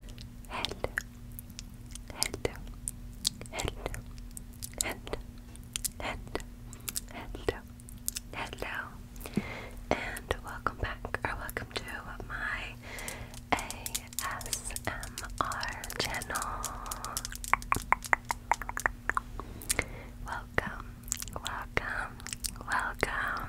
Hello, hello, hello, hello, hello, hello, hello, and welcome back or welcome to my ASMR channel. Welcome, welcome, welcome.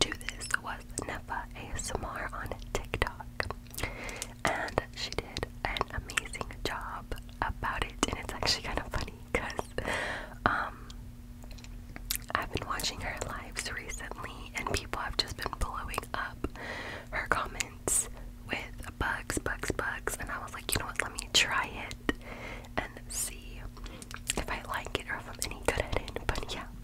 to this was Nefa ASMR on TikTok. And she did an amazing job about it. And it's actually kind of funny because um, I've been watching her lives recently and people have just been blowing up her comments with bugs, bugs, bugs. And I was like, you know what, let me try it and see if I like it or if I'm any good at it. But yeah,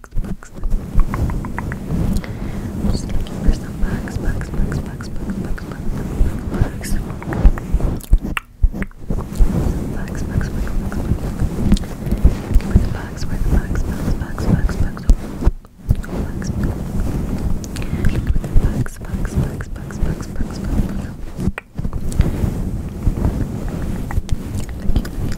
bugs, bugs. I'm just looking for some bugs, bugs, bugs, bugs, bugs, bugs, bugs, bugs. Some bugs, bugs, bugs, bugs, bugs. Where the bugs, where the bugs, bugs, bugs, bugs, bugs. Oh, bugs, bugs, bugs, bugs, bugs, bugs, bugs, bugs, bugs. Looking, looking,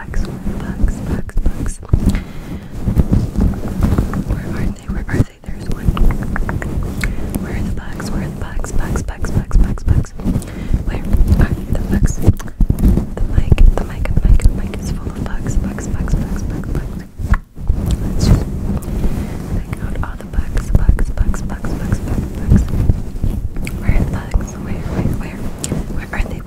Where are they? Where are they? There's one. Where are the bugs? Where the bugs? Bugs, bugs, bugs, bugs, bugs. Where the bugs? The mic, the mic, the mic, the mic is full of bugs, bugs, bugs, bugs, bugs, bugs. Let's just pick out all the bugs, bugs, bugs, bugs, bugs, bugs, bugs. Where are the bugs? Where, where, where? Where are they?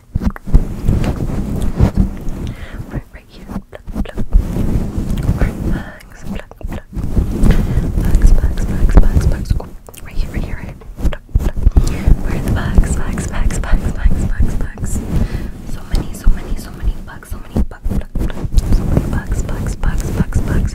Right, right here. Pluck, pluck. Right, bags, pluck, pluck. Bags, bags, bags, bags, bags. Oh, right here, right here, right here. Pluck, pluck. Where are the bags, bags, bags, bags, bags, bags, bags? So many, so many, so many bugs, so many bugs, pluck, pluck. So many bugs, bugs, bugs, bugs, bugs.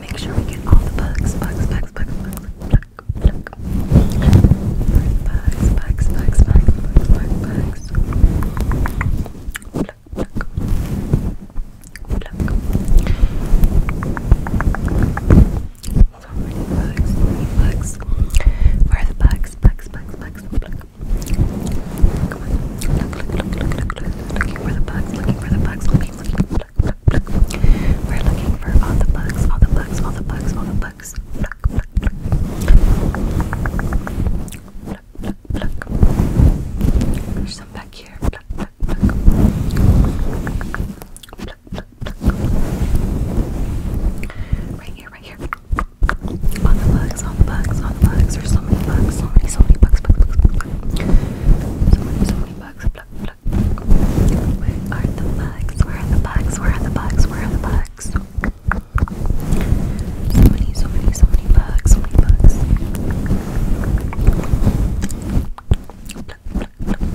Make sure we get all the bugs, bugs, bugs, bugs, bugs. Bugs, bugs, bugs, bugs, bugs, bugs, bugs. bugs, Where are the bugs? Bugs, bugs, bugs. Pluck, Come on. Look, look, look, look, look, look. Looking for the bugs, looking for the bugs, looking, looking, look, look, look. We're looking for all the bugs, all the bugs, all the bugs, all the bugs. Look, look, look. Look, look, look. There's some back here. Look, look, look. Look, look, look. Right here, right here. Look, on the bugs, on the bugs, on the bugs. There's so many bugs, so many, so many bugs, So many, so many bugs. Where are the bugs? Where are the bugs? Where are the bugs? Where are the bugs? So many, so many, so many bugs, so many bugs. Pluck, pluck, pluck.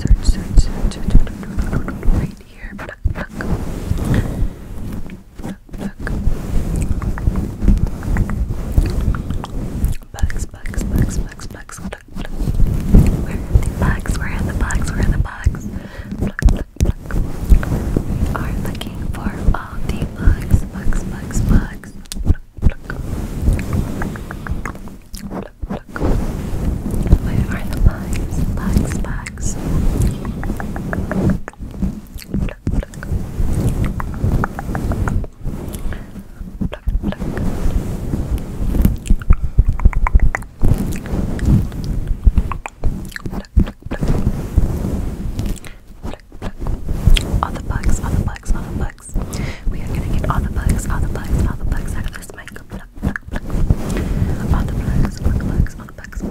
Search, search, search, search, search, search, search, search, search, Bugs, bugs, bugs, bugs, bugs. Pluck, pluck. Where are the bugs? Where are the bugs? Where are the bugs? Pluck, pluck, pluck. We are looking for all the bugs, bugs, bugs, bugs. Pluck, pluck. Pluck, pluck. Where are the bugs? Bugs, bugs. All the bugs, all the bugs, all the bugs. We are gonna get all the bugs, all the bugs, all the bugs out of this mic. Pluck, pluck, pluck. All the bugs, all the bugs.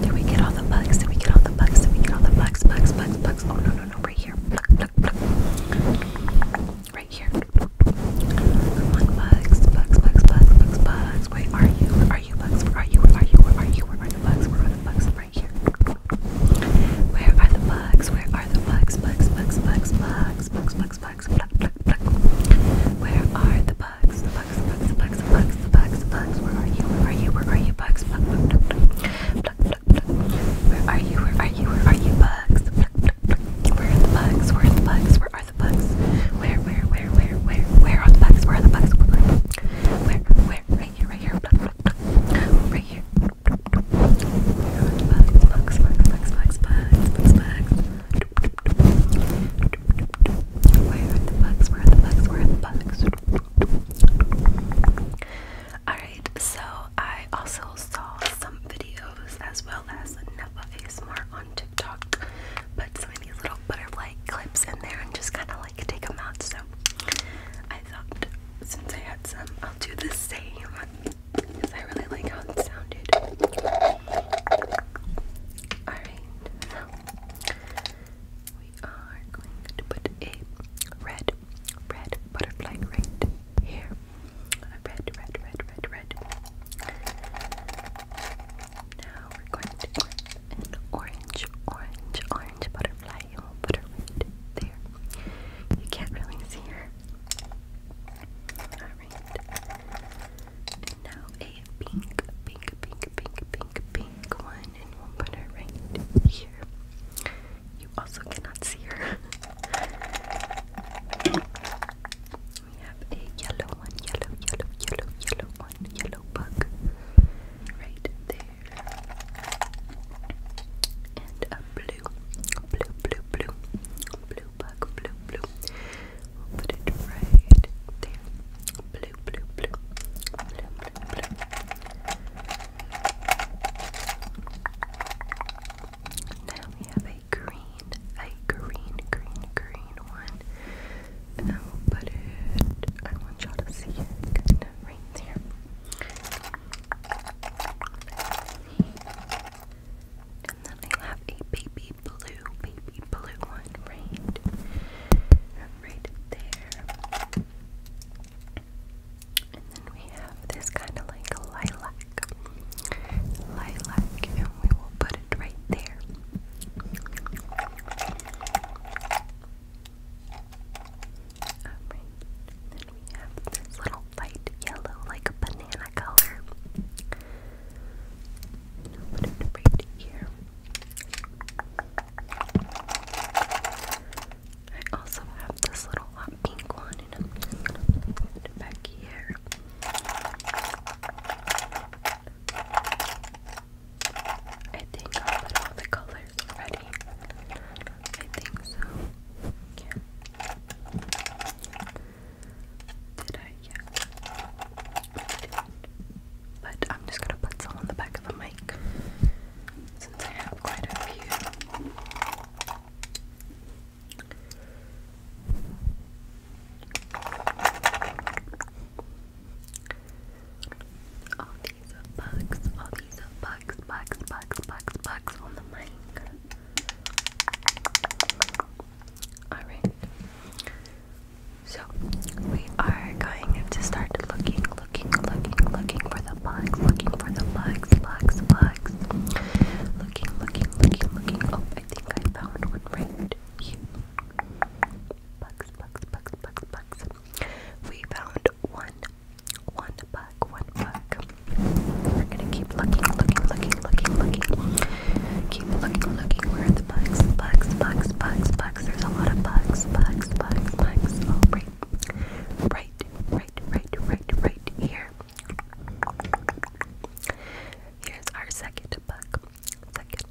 Did we get all the bugs? Did we get all the bugs? Did we get all the bugs? Bugs, bugs, bugs. Oh no, no, no, right here. Right here. Come on, bugs, bugs, bugs, bugs, bugs, bugs. Where are you? Where are you, bugs? Where are you? Where are you? Where are you? Where are the bugs? Where are the bugs? Right here. Where are the bugs? Where are the bugs? Bugs, bugs, bugs, bugs, bugs, bugs, bugs bugs, pluck, pluck, pluck. Where are the bugs? The bugs, the bugs, the bugs, the bugs, the bugs, the bugs. Where are you? Where are you? Where are you? Bugs, pluck, pluck, pluck, pluck, pluck, pluck. Where are you? Where are you? Where are you? Bugs, pluck, pluck, pluck. Where are the bugs? Where are the bugs? Where are the bugs? Where, where, where, where, where, where are the bugs? Where are the bugs? Where, where, right here, right here, pluck, pluck, pluck. Right here, Alright, so I also saw some videos as well as Neva ASMR on TikTok. Put some of these little butterfly clips in there and just kind of like take them out. So I thought since I had some, I'll do the same because I really like how it sounded. Alright, we are going to put a red, red butterfly right here. red, red, red, red, red. Now we're going to put an orange, orange, orange butterfly. You'll put her right there. You can't really see her. Now a pink, pink, pink, pink, pink, pink one, and we'll put her right here. You also cannot see her. we have a yellow one, yellow, yellow, yellow, yellow one, yellow bug right there blue, blue, blue, blue, blue bug, blue, blue. We'll put it right there. Blue, blue, blue, blue, blue, blue. Now we have a green, a green, green, green one. And we'll put it, I want y'all to see it kind of right there. And then I have a baby blue, baby blue one right, right there. And then we have this kind of like lilac, lilac, and we will put it right there. Alright, then we have this little light yellow, like a banana color. I'll put it here. I also have this little hot pink one, and back here. I think I'll all the colors ready. I think so. Yeah. Did I? Yeah. But I'm just gonna put some on the back of the mic since I have quite a few. All these bugs, all these bugs, bugs, bugs, bugs, bugs on the mic. Alright. So we are going to start looking, looking, looking, looking for the bugs, looking for the bugs, bugs, bugs. Looking, looking, looking, looking. Oh, I think I found one right here. Bugs, bugs, bugs, bugs, bugs. We found one, one bug black, one black. We're gonna keep looking, looking, looking, looking, looking. Keep looking, looking. Where are the bugs? Bugs, bugs, bugs, bugs. There's a lot of bugs, bugs, bugs, bugs. Oh, right, right, right, right, right, right here. Here's our second bug. Second,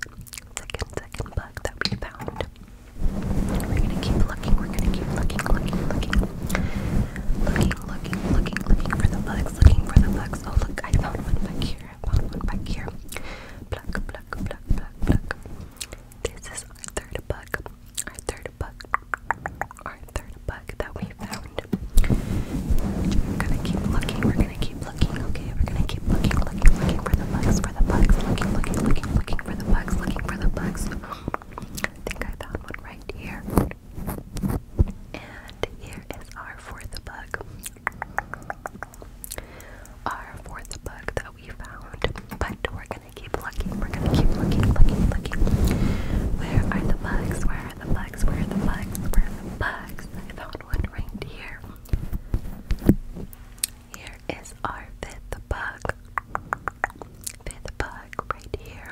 second, second bug that we found. We're gonna keep looking, we're gonna keep looking, looking, looking. Looking, looking, looking, looking, for the bugs, looking for the bugs. Oh look, I found one back here. I found one back here. Pluck, pluck, pluck, pluck, pluck. This is our third bug. Our third bug. Our third bug that we found. We're gonna keep looking. We're gonna keep looking. Okay, we're gonna keep looking, looking, looking for the bugs, for the bugs, looking, looking, looking, looking for the bugs, looking for the bugs. I think I found one right here. And here is our fourth bug. Our fourth bug that we found. But we're gonna keep looking. We're gonna keep looking, looking, looking. Where are the bugs? Where are the bugs? Where are the bugs? Where are the bugs? I found one right here. Here is our fifth bug. Fifth bug right here.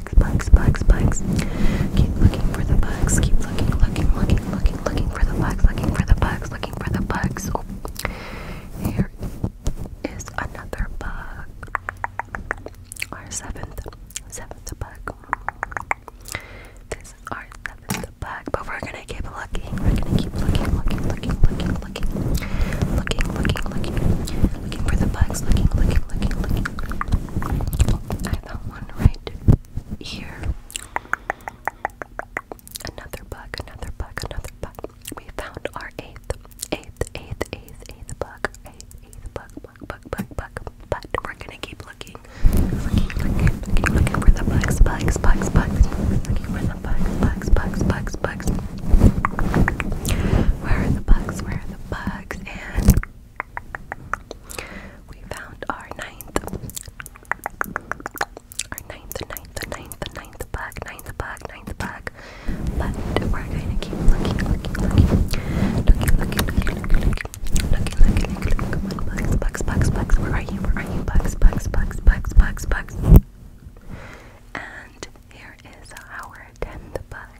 bugs, bugs, bugs, bugs. Keep looking for the bugs. Keep looking, looking, looking, looking, looking for the bugs, looking for the bugs, looking for the bugs. Oh, here is another bug. Our seventh, seventh bug. This is our seventh bug, but we're gonna keep looking. We're gonna keep looking, looking, looking, looking, looking, looking, looking, looking, looking for the bugs. Looking, looking, looking, looking. Oh, I found one right here. Another bug, another bug, another bug. We found our eighth, eighth, eighth, eighth, eighth bug, eighth, eighth bug, bug, bug, bug, bug. But we're gonna keep looking, looking, looking, looking for the bugs, bugs, bugs, bugs. Looking for the bugs, bugs, bugs, bugs, bugs. Where are the bugs? Where are the bugs? And we found our ninth, our ninth, ninth, ninth, ninth bug, ninth bug, ninth bug. But we're gonna keep looking, looking, looking, looking, looking, looking, looking, looking, looking, looking. Come on, bugs, bugs, bugs, bugs. Where are you? Where are you? Bugs, bugs, bugs, bugs, bugs, bugs. And here is our tenth bug.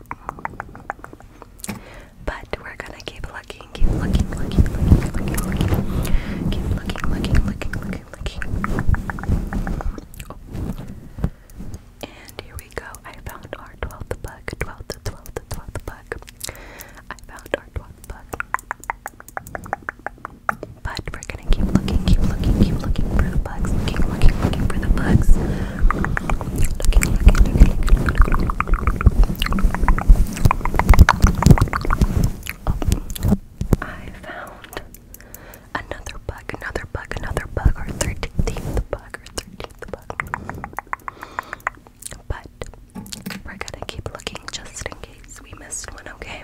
But we're gonna keep looking, keep looking, looking, looking, looking, looking, keep looking, looking, looking, looking, looking. Oh. And here we go. I found our twelfth bug, twelfth, twelfth, twelfth bug. I found our twelfth bug. But we're gonna keep looking, keep looking, keep looking for the looking, looking, looking for the bugs. Looking, looking, looking. I found another bug, another bug, another bug, or 13th bug, or 13th bug. But we're gonna keep looking just in case we missed one, okay?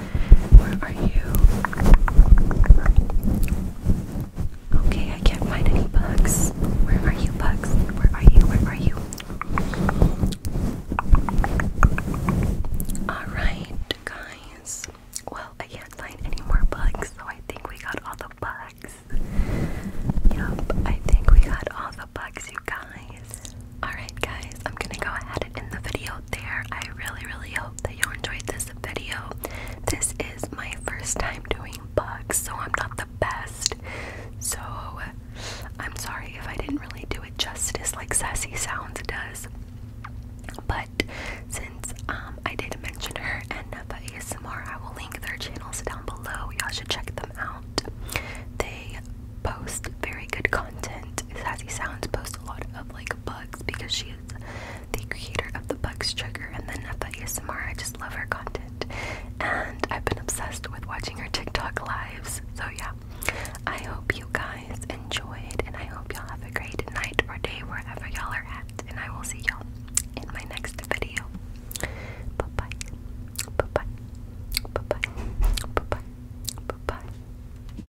Where are you? Okay, I can't find any bugs. Where are you, bugs? Where are you? Where are you? Alright, guys. Well, I can't find any more bugs, so I think we got all the bugs. Yup, I think we got all the bugs, you guys. Alright, guys. I'm gonna go ahead and end the video there. I really, really hope that you enjoyed this video. This is my first time doing books, so I'm not the best. So I'm sorry if I didn't really do it justice like Sassy Sounds does. But since um, I did mention her and Neva ASMR, I will link their channels down below. Y'all should check them out. They post very good content. Sassy Sounds posts a lot of like bugs because she is the creator of the Bugs Trigger and then of ASMR. I just love her content. And I've been obsessed with watching her TikTok lives. So yeah. I hope you guys enjoyed and I hope y'all have a great night or day wherever y'all are at. And I will see y'all in my next video. Bye-bye. Bye-bye. Bye-bye. Bye-bye. Bye-bye.